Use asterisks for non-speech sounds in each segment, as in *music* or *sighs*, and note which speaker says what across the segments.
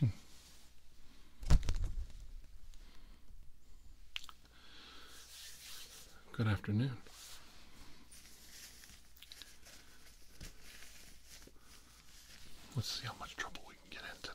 Speaker 1: Hmm. Good afternoon. Let's see how much trouble we can get in today.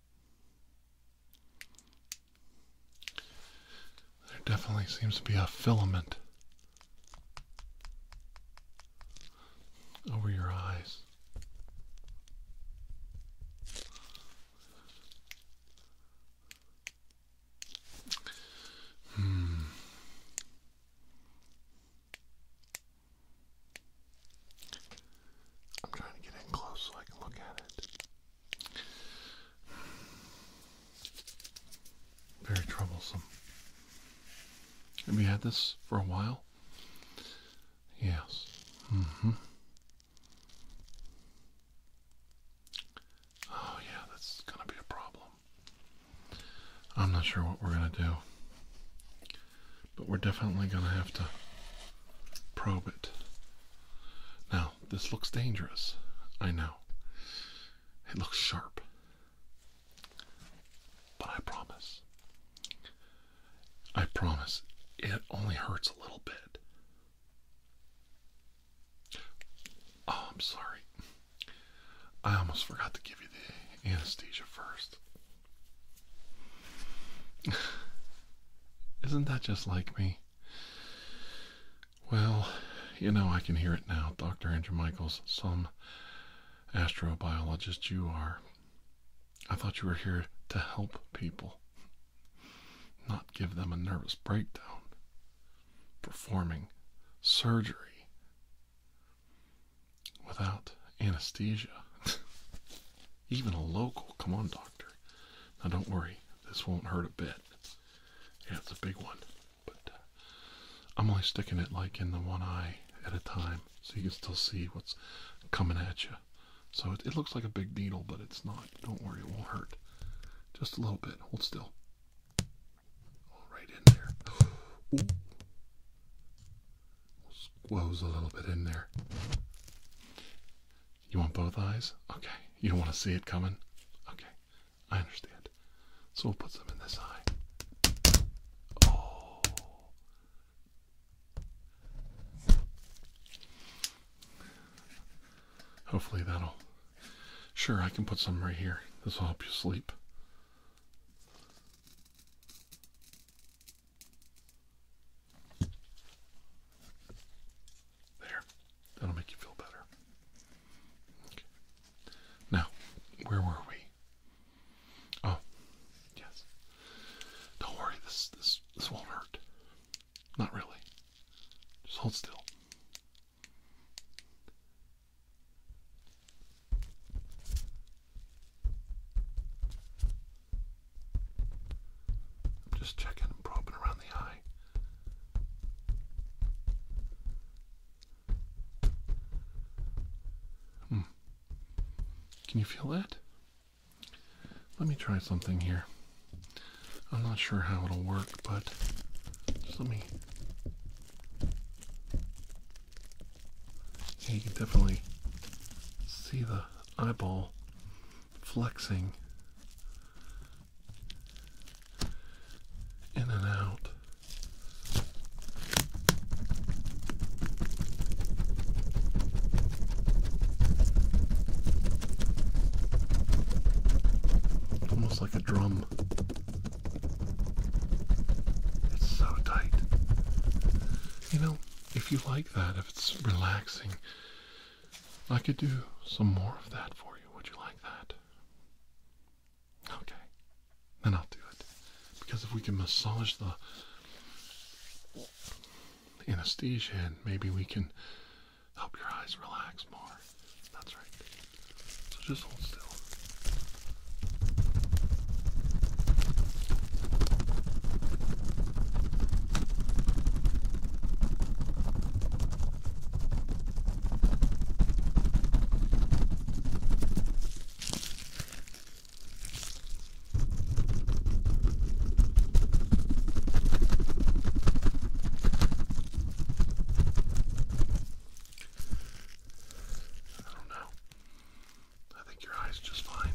Speaker 1: There definitely seems to be a filament over your eyes. Hmm. I'm trying to get in close so I can look at it. Very troublesome. Have we had this for a while? Yes. Mm hmm. Oh, yeah, that's going to be a problem. I'm not sure what we're going to do. But we're definitely going to have to probe it. Now, this looks dangerous. I know. It looks sharp. But I promise. I promise it only hurts a little bit. Oh, I'm sorry. I almost forgot to give you the anesthesia first. *sighs* Isn't that just like me? Well, you know, I can hear it now, Dr. Andrew Michaels, some astrobiologist you are. I thought you were here to help people, not give them a nervous breakdown. Performing surgery without anesthesia, *laughs* even a local. Come on, doctor. Now, don't worry. This won't hurt a bit. Yeah, it's a big one, but uh, I'm only sticking it like in the one eye at a time, so you can still see what's coming at you. So it, looks like a big needle, but it's not. Don't worry, it won't hurt. Just a little bit. Hold still. All right in there. Ooh. a little bit in there. You want both eyes? Okay. You want to see it coming? Okay. I understand. So we'll put some in this eye. Oh. Hopefully that'll. Sure, I can put some right here. This will help you sleep. There. That'll make you feel better. Okay. Now, where were we? Oh, yes. Don't worry, this this this won't hurt. Not really. Just hold still. I'm just checking and probing around the eye. Hmm. Can you feel that? Let me try something here. I'm not sure how it'll work, but just let me. you can definitely see the eyeball flexing in and out. Almost like a drum. It's so tight. You know, if you like that, if it's relaxing, I could do some more of that for you. Would you like that? Okay. Then I'll do it. Because if we can massage the anesthesia and maybe we can help your eyes relax more. That's right. So just hold still. I don't know. I think your eyes just fine.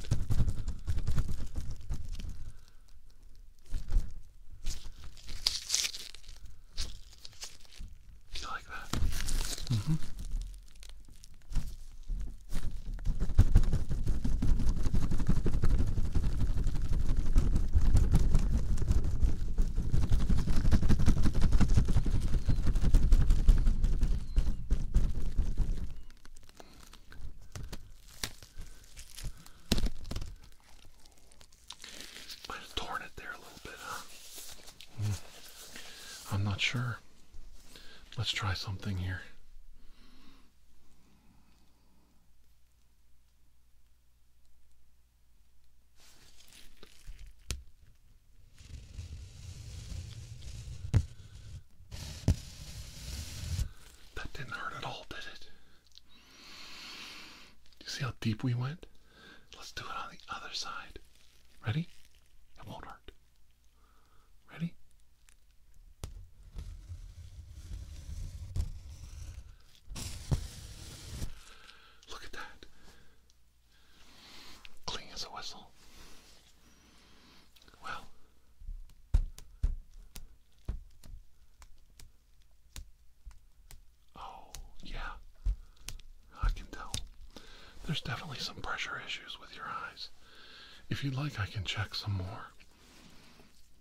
Speaker 1: Do you like that? Mm-hmm torn it there a little bit, huh? Hmm. I'm not sure. Let's try something here. That didn't hurt at all, did it? You see how deep we went? Let's do it on the other side. Ready? It won't hurt. Ready? Look at that. Clean as a whistle. Well, Oh, yeah. I can tell. There's definitely some pressure issues with your eyes. If you'd like, I can check some more.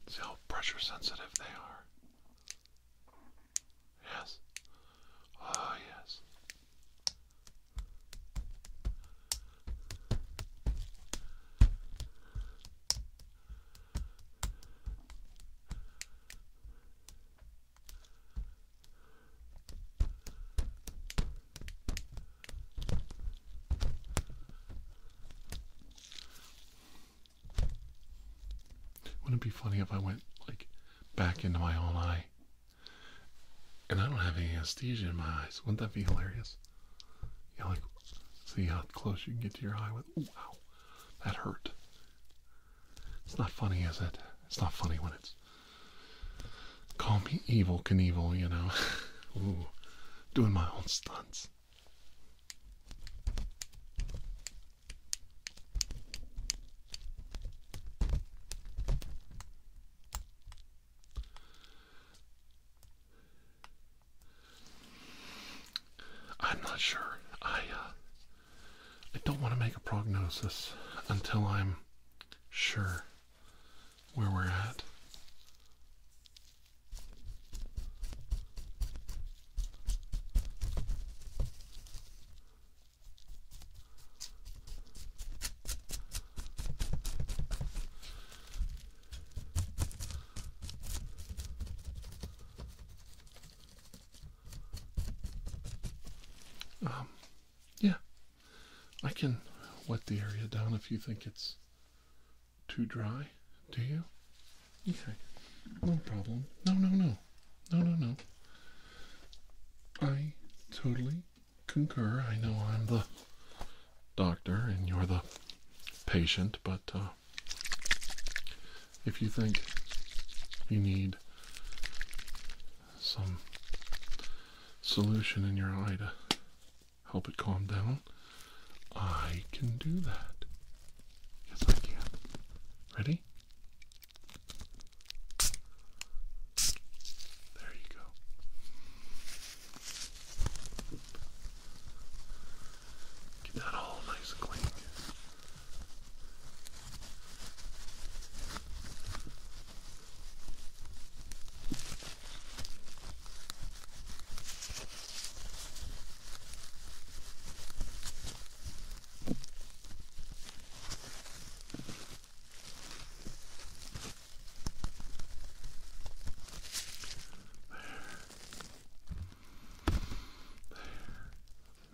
Speaker 1: See how pressure sensitive they are. Yes. Oh, yes. Wouldn't it be funny if I went like back into my own eye? And I don't have any anesthesia in my eyes. Wouldn't that be hilarious? Yeah, like see how close you can get to your eye with. Ooh, that hurt. It's not funny, is it? It's not funny when it's. Call me evil Knievel, you know. *laughs* Ooh, doing my own stunts. I'm not sure. I uh, I don't want to make a prognosis until I'm sure where we're at. Um, yeah, I can wet the area down if you think it's too dry. Do you? Okay, no problem. No, no, no, no, no, no. I totally concur. I know I'm the doctor and you're the patient, but uh, if you think you need some solution in your eye to help it calm down, I can do that. Yes, I can. Ready? There you go. Keep that all nice and clean. There. There.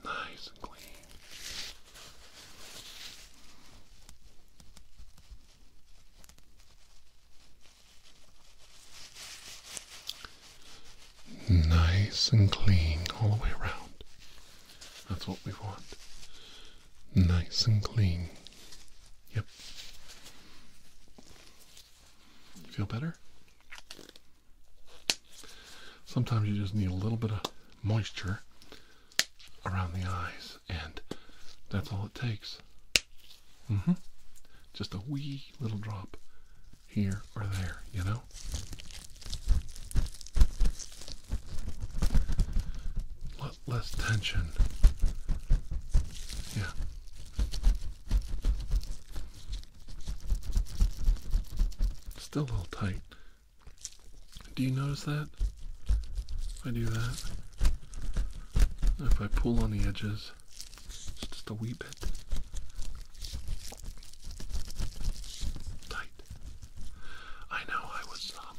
Speaker 1: Nice and clean. Nice and clean all the way around. That's what we want. Nice and clean. Yep. feel better? Sometimes you just need a little bit of moisture around the eyes, and that's all it takes. Mm-hmm. Just a wee little drop here or there, you know? A lot less tension. Yeah. Still a little tight. Do you notice that? If I do that, if I pull on the edges, just a wee bit. Tight. I know. I was. Um,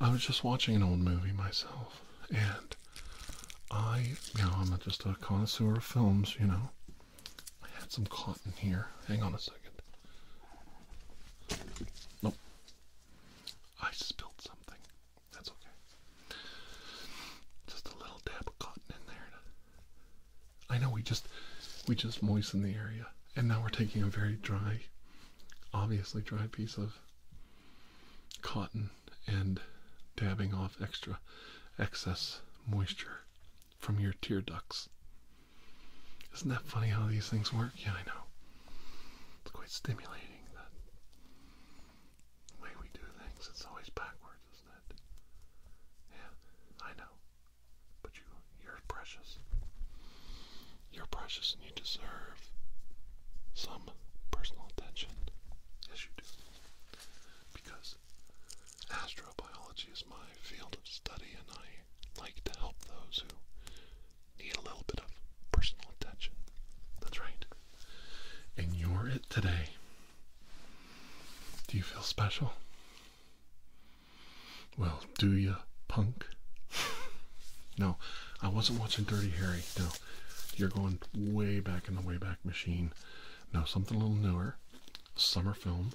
Speaker 1: I was just watching an old movie myself, and I, you know, I'm just a connoisseur of films, you know. I had some cotton here. Hang on a second. Nope. I spilled something. That's okay. Just a little dab of cotton in there. I know we just we just moistened the area, and now we're taking a very dry, obviously dry piece of cotton and dabbing off extra excess moisture from your tear ducts. Isn't that funny how these things work? Yeah, I know. It's quite stimulating that way we do things. It's always backwards, isn't it? Yeah, I know. But you, you're precious. You're precious and you deserve some personal attention. Yes, you do. Because Astrobiology is my field of study, and I like to help those who need a little bit of personal attention. That's right. And you're it today. Do you feel special? Well, do ya, punk? *laughs* no, I wasn't watching Dirty Harry. No, you're going way back in the Wayback Machine. Now, something a little newer, summer film.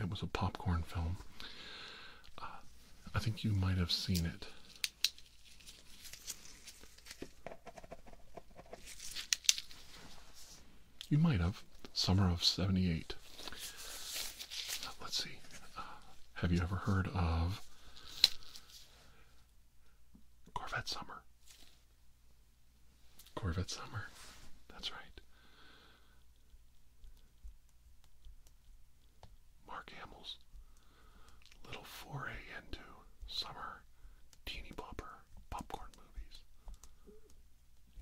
Speaker 1: It was a popcorn film. Uh, I think you might have seen it. You might have. Summer of 78. Let's see. Uh, have you ever heard of Corvette Summer? Corvette Summer. That's right. Mark Hamill's little foray into summer teeny bopper popcorn movies.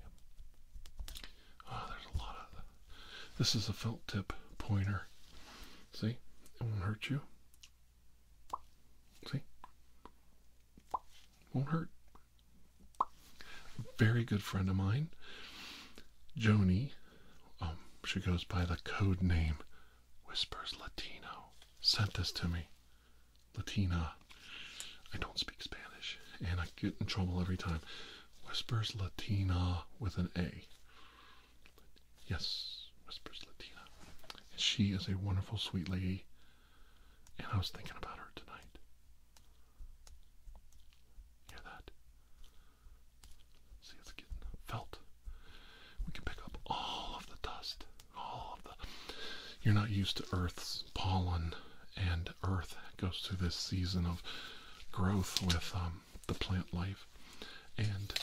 Speaker 1: Yep. Oh, there's a lot of This is a felt tip pointer. See? It won't hurt you. See? Won't hurt. A very good friend of mine, Joanie. Um, she goes by the code name Whispers Latino. Sent this to me. Latina. I don't speak Spanish, and I get in trouble every time. Whispers Latina with an A. Yes, Whispers Latina. she is a wonderful, sweet lady. And I was thinking about her tonight. Hear that? See, it's getting felt. We can pick up all of the dust, all of the. You're not used to Earth's pollen, and Earth goes through this season of growth with um, the plant life, and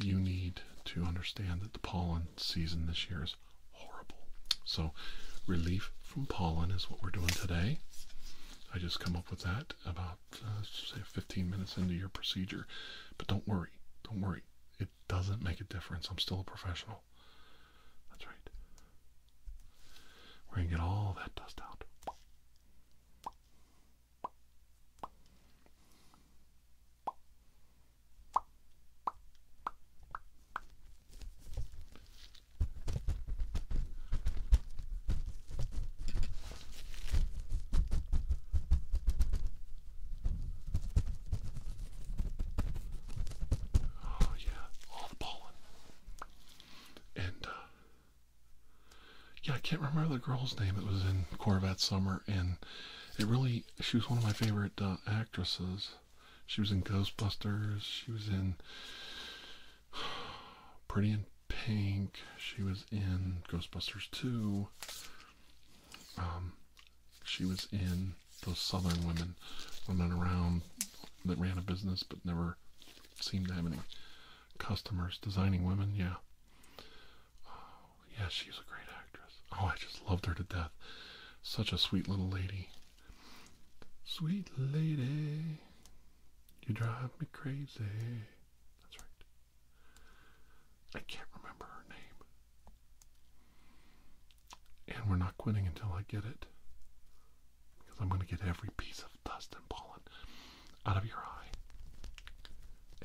Speaker 1: you need to understand that the pollen season this year is horrible. So, relief from pollen is what we're doing today. I just come up with that about uh, say 15 minutes into your procedure. But don't worry, don't worry. It doesn't make a difference. I'm still a professional. That's right. We're going to get all that dust out. Oh, yeah, all the pollen. And, uh, yeah, I can't remember the girl's name. It was in Corvette Summer, and it really she was one of my favorite uh, actresses. She was in Ghostbusters. She was in *sighs* Pretty in Pink. She was in Ghostbusters Two. Um, she was in those Southern women, women around that ran a business but never seemed to have any customers. Designing women, yeah. Yeah, she's a great actress. Oh, I just loved her to death. Such a sweet little lady. Sweet lady, you drive me crazy. That's right. I can't remember her name. And we're not quitting until I get it. Because I'm going to get every piece of dust and pollen out of your eye.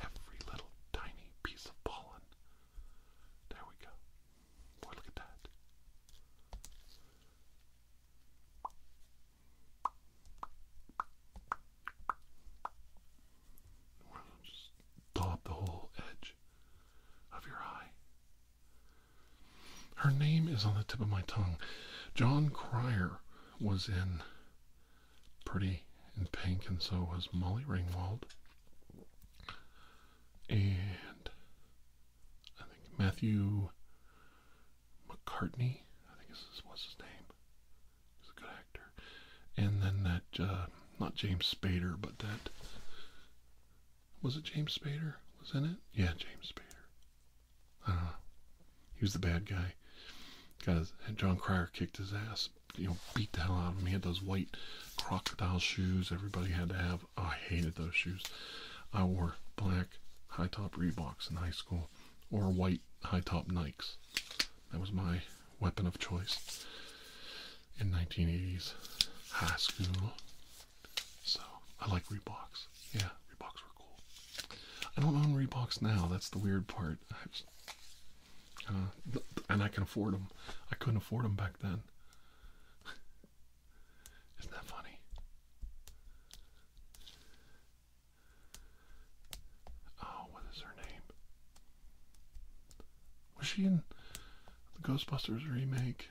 Speaker 1: Every little tiny piece of pollen there we go. Boy, look at that. just dollop the whole edge of your eye. Her name is on the tip of my tongue. John Crier was in Pretty in Pink, and so was Molly Ringwald and I think Matthew McCartney, I think this was his name. He's a good actor. And then that, uh, not James Spader, but that, was it James Spader? Was in it? Yeah, James Spader. I don't know. He was the bad guy. Got his, John Crier kicked his ass, you know beat the hell out of me. Had those white crocodile shoes. Everybody had to have. I hated those shoes. I wore black high top Reeboks in high school, or white high top Nikes. That was my weapon of choice in 1980s high school. So I like Reeboks. Yeah, Reeboks were cool. I don't own Reeboks now. That's the weird part. Uh, and I can afford them. I couldn't afford them back then. *laughs* Isn't that funny? Oh, what is her name? Was she in the Ghostbusters remake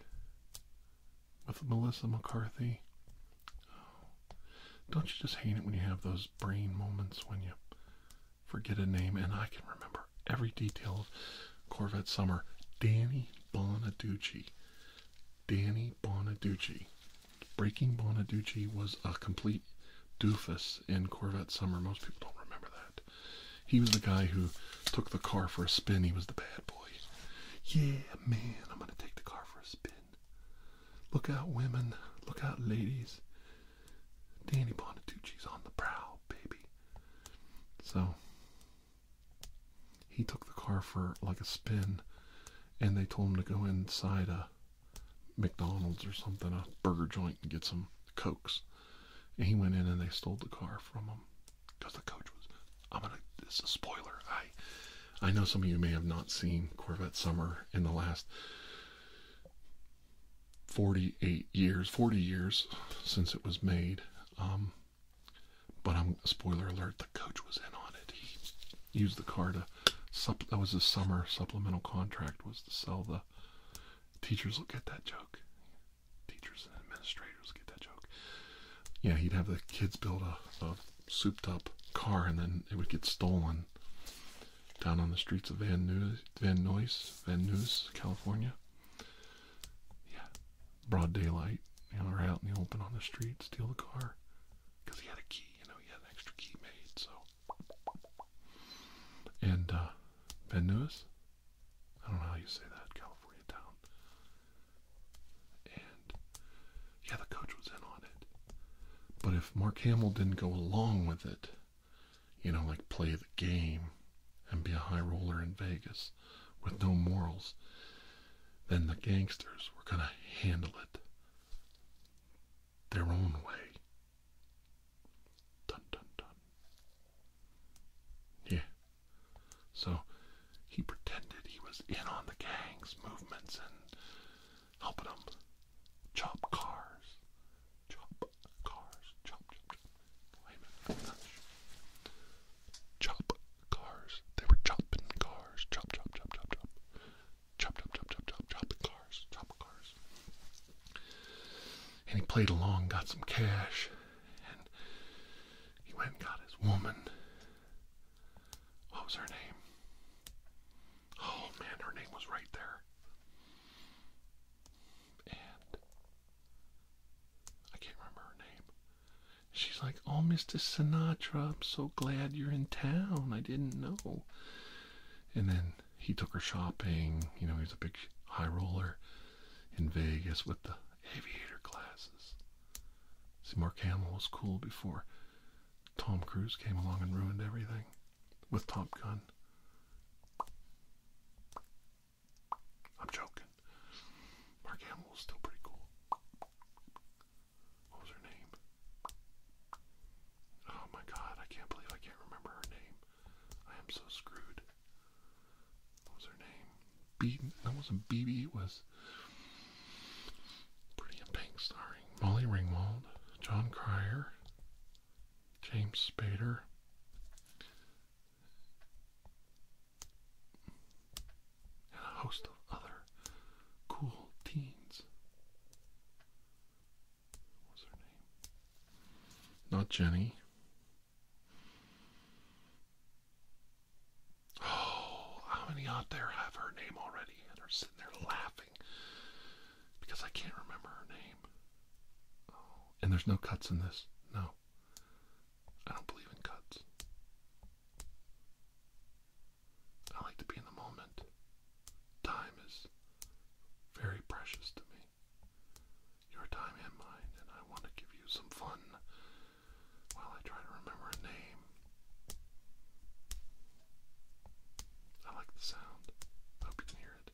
Speaker 1: with Melissa McCarthy? Oh. Don't you just hate it when you have those brain moments when you forget a name, and I can remember every detail of Corvette Summer. Danny Bonaducci. Danny Bonaducci. Breaking Bonaducci was a complete doofus in Corvette Summer. Most people don't remember that. He was the guy who took the car for a spin. He was the bad boy. Yeah, man, I'm going to take the car for a spin. Look out, women. Look out, ladies. Danny Bonaducci's on the prowl, baby. So he took the car for like a spin, and they told him to go inside a McDonald's or something, a burger joint, and get some cokes. And he went in and they stole the car from him because the coach was. I'm gonna. This is a spoiler. I, I know some of you may have not seen Corvette Summer in the last 48 years, 40 years since it was made. Um, but I'm spoiler alert: the coach was in on it. He used the car to. that was his summer supplemental contract was to sell the. Teachers will get that joke. Teachers and administrators get that joke. Yeah, he'd have the kids build a, souped-up car, and then it would get stolen down on the streets of Van Nuys, Van Nuys, California yeah, broad daylight, you know, they're out in the open on the street, steal the car. he had a key, you know, he had an extra key made, so. And, uh, Ben Lewis, I don't know how you say that, California town. And, yeah, the coach was in on it. But if Mark Hamill didn't go along with it, you know, like play the game and be a high roller in Vegas with no morals, then the gangsters were going to handle it their own way. Dun dun dun. Yeah. So he pretended he was in on the gangs' movements and helping them chop cars, chop cars. Chop, chop, chop. Wait Chop cars. They were chopping cars. chop, chop, chop, chop. Chop, chop, chop, chop, chop, chopping cars. Chop cars. And he played along, got some cash, and he went and got his woman. What was her name? Oh man, her name was right there. And I can't remember her name. She's like, Oh, Mr. Sinatra, I'm so glad you're in town. I didn't know. And then he took her shopping. You know, he's a big high roller in Vegas with the aviator glasses. See, Mark Hamill was cool before Tom Cruise came along and ruined everything with Top Gun. I'm joking. Mark Hamill still pretty cool. What was her name? Oh my god, I can't believe I can't remember her name. I am so screwed. What was her name? B that wasn't BB, it was Pretty in Pink starring Molly Ringwald, John Cryer, James Spader, a host of other cool teens. What's her name? Not Jenny. Oh, how many out there have her name already and are sitting there laughing because I can't remember her name? Oh, and there's no cuts in this. No. I don't believe in cuts. I like to be in the moment. Time is very precious to me. Your time and mine, and I want to give you some fun while I try to remember a name. I like the sound. I hope you can hear it.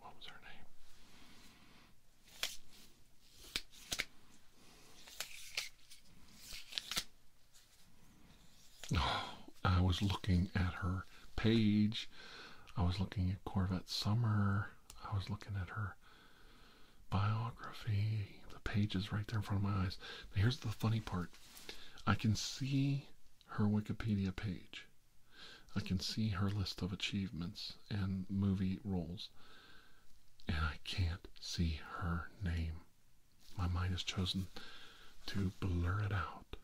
Speaker 1: What was her name? Oh, I was looking at her page. I was looking at Corvette Summer. I was looking at her biography. The page is right there in front of my eyes. Now, here's the funny part I can see her Wikipedia page, I can see her list of achievements and movie roles, and I can't see her name. My mind has chosen to blur it out.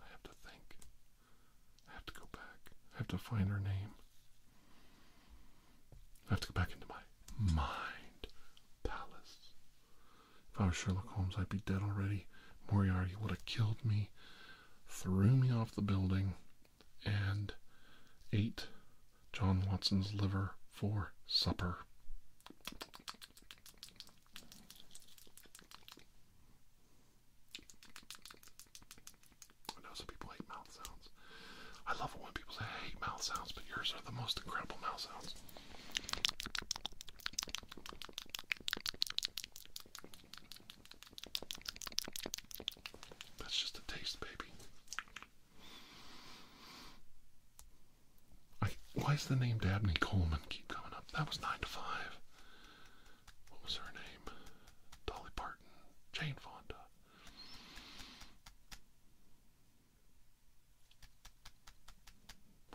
Speaker 1: I have to think. I have to go back. I have to find her name. I have to go back into my mind palace. If I was Sherlock Holmes, I'd be dead already. Moriarty would have killed me, threw me off the building, and ate John Watson's liver for supper. I know some people hate mouth sounds. I love it when people say I hate mouth sounds, but yours are the most incredible mouth sounds. That's just a taste, baby. I, why is the name Dabney Coleman keep coming up? That was 9 to 5. What was her name? Dolly Parton. Jane Fonda.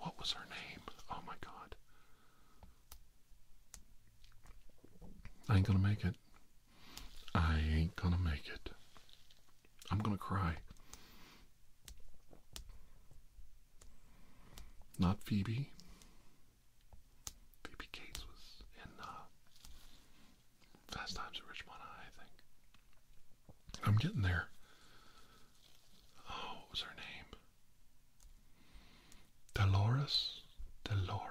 Speaker 1: What was her name? Oh my god. I ain't gonna make it. I ain't gonna make it. I'm gonna cry. Not Phoebe. Phoebe Cates was in uh, Fast Times at Richmond High, I think. I'm getting there. Oh, what was her name? Dolores? Dolores.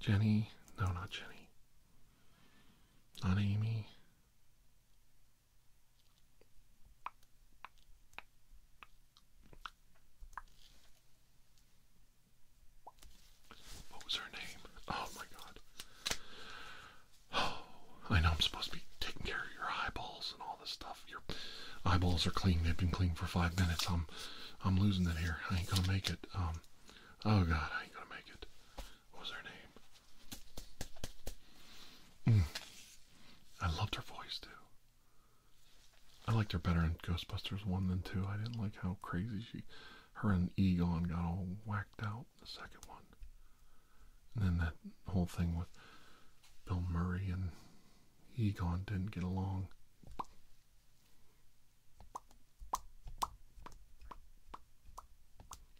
Speaker 1: Jenny? No, not Jenny. Not Amy. What was her name? Oh my god. Oh, I know I'm supposed to be taking care of your eyeballs and all this stuff. Your eyeballs are clean. They've been clean for five minutes. I'm, I'm losing it here. I ain't gonna make it. Um, oh god, I ain't gonna make it. What was her name? Mm. I loved her voice too. I liked her better in Ghostbusters one than two. I didn't like how crazy she, her and Egon got all whacked out in the second one. And then that whole thing with Bill Murray and Egon didn't get along.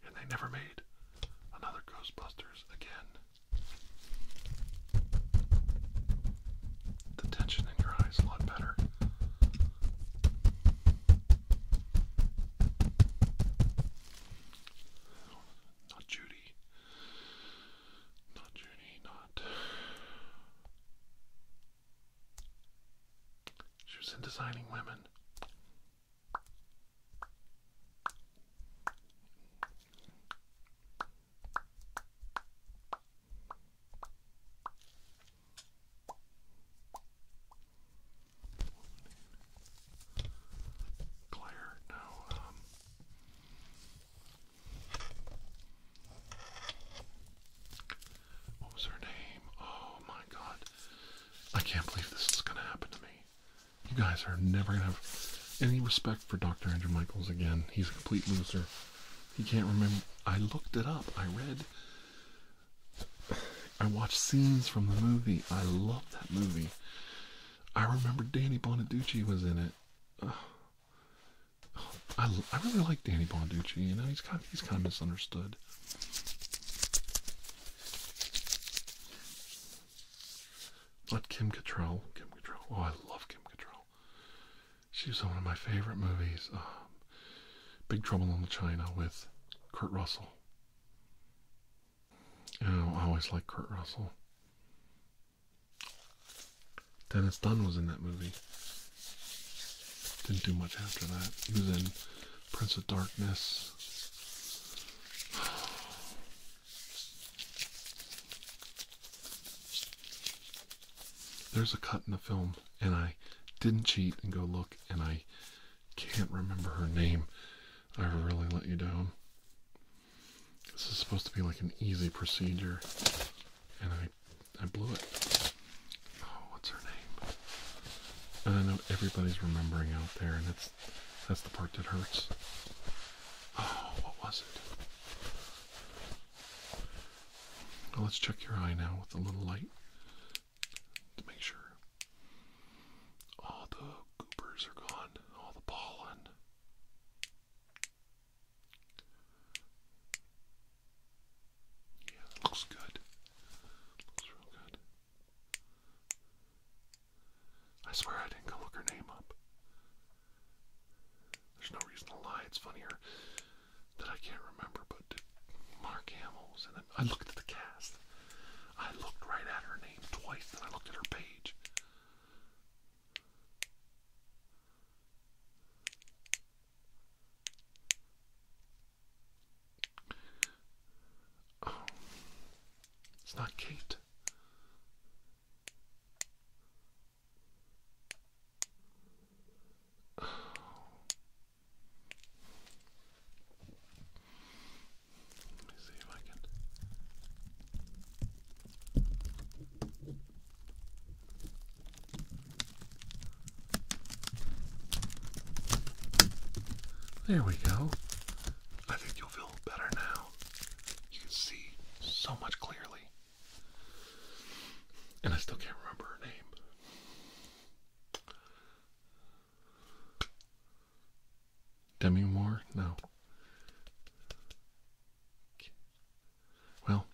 Speaker 1: And they never made another Ghostbusters again the tension in your eyes a lot better. Not Judy. Not Judy, not. She was in Designing Women. Claire, now, um, what was her name? Oh my god. I can't believe this is gonna happen to me. You guys are never gonna have any respect for Dr. Andrew Michaels again. He's a complete loser. He can't remember. I looked it up. I read. I watched scenes from the movie. I love that movie. I remember Danny Bonaducci was in it. I, I really like Danny Bonducci. You know, he's kind of, he's kind of misunderstood. Not Kim Cattrall. Kim Cattrall. Oh, I love Kim Cattrall. She was in one of my favorite movies, um, Big Trouble in Little China with Kurt Russell. I always like Kurt Russell. Dennis Dun was in that movie. Didn't do much after that. He was in Prince of Darkness there's a cut in the film, and I didn't cheat and go look, and I can't remember her name. I really let you down. This is supposed to be like an easy procedure, and I, I blew it. Oh, what's her name? And I know everybody's remembering out there, and it's that's the part that hurts. Oh, what was it? let's check your eye now with a little light to make sure all the goopers are gone, all the pollen. Yeah, looks good. Looks real good. I swear I didn't go look her name up. There's no reason to lie. It's funnier that I can't remember, but Mark Hamill was in I looked at the cast. I looked right at her name twice, and I looked at her page. Oh, it's not Kate. There we go. I think you'll feel better now. You can see so much clearly. And I still can't remember her name. Demi Moore? No. Well,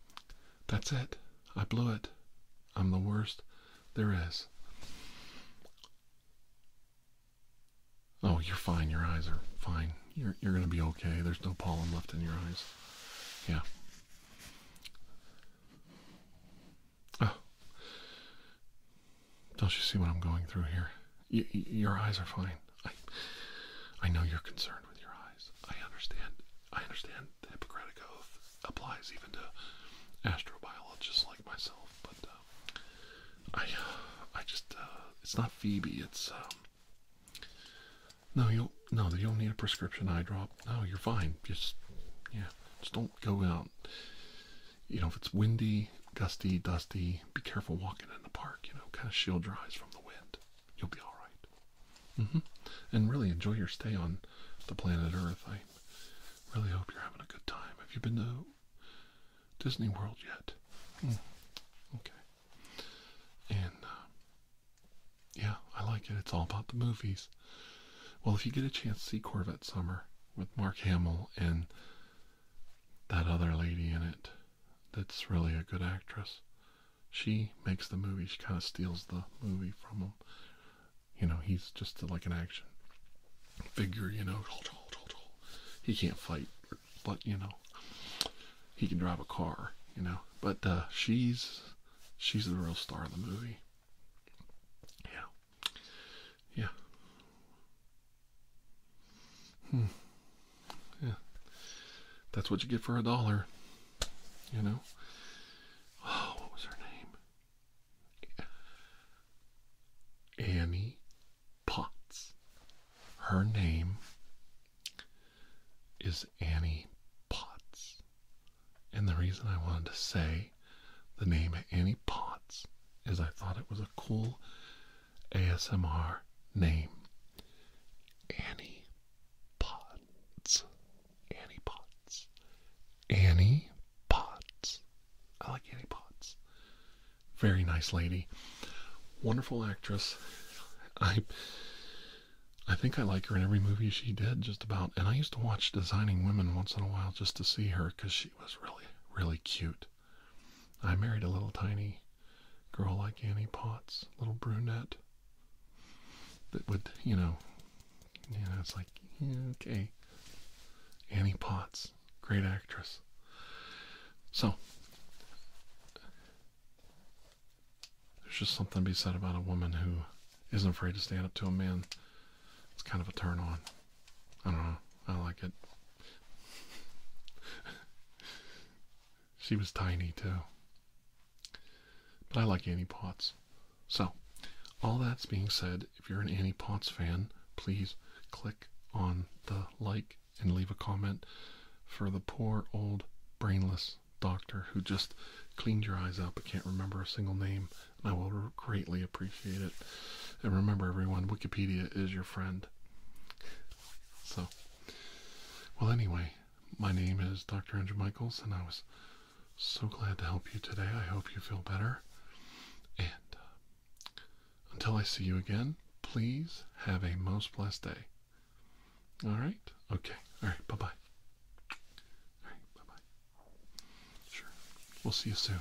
Speaker 1: that's it. I blew it. I'm the worst there is. Oh, you're fine. Your eyes are fine. You're you're gonna be okay. There's no pollen left in your eyes. Yeah. Oh. Don't you see what I'm going through here? your eyes are fine. I, I know you're concerned with your eyes. I understand. I understand the Hippocratic Oath applies even to astrobiologists like myself, but uh, I, I just, uh, it's not Phoebe, it's, um, no, you'll no, you don't need a prescription eye drop. No, you're fine. Just yeah, just don't go out. You know, if it's windy, gusty, dusty, be careful walking in the park. You know, kind of shield your eyes from the wind. You'll be all right. Mm-hmm. And really enjoy your stay on the planet Earth. I really hope you're having a good time. Have you been to Disney World yet? Hmm. Okay. And uh, yeah, I like it. It's all about the movies. Well, if you get a chance to see Corvette Summer with Mark Hamill and that other lady in it that's really a good actress, she makes the movie. She kind of steals the movie from him. You know, he's just like an action figure, you know. He can't fight, but, you know, he can drive a car, you know. But uh, she's she's the real star of the movie. Yeah. Yeah. Hmm. Yeah. That's what you get for a dollar. You know? Oh, what was her name? Annie Potts. Her name is Annie Potts. And the reason I wanted to say the name Annie Potts is I thought it was a cool ASMR name. Annie Potts. Annie Potts. Annie Potts. I like Annie Potts. Very nice lady. Wonderful actress. I I think I like her in every movie she did, just about. And I used to watch Designing Women once in a while just to see her because she was really, really cute. I married a little tiny girl like Annie Potts, little brunette, that would, you know, yeah. it's like, okay. Annie Potts, great actress. So, there's just something to be said about a woman who isn't afraid to stand up to a man. It's kind of a turn on. I don't know. I like it. *laughs* she was tiny too. But I like Annie Potts. So, all that's being said, if you're an Annie Potts fan, please click on the like and leave a comment for the poor old brainless doctor who just cleaned your eyes out, but can't remember a single name, and I will greatly appreciate it. And remember, everyone, Wikipedia is your friend. So, well, anyway, my name is Dr. Andrew Michaels, and I was so glad to help you today. I hope you feel better. And uh, until I see you again, please have a most blessed day. All right. Okay. All right. Bye bye. All right. Bye bye. Sure. We'll see you soon.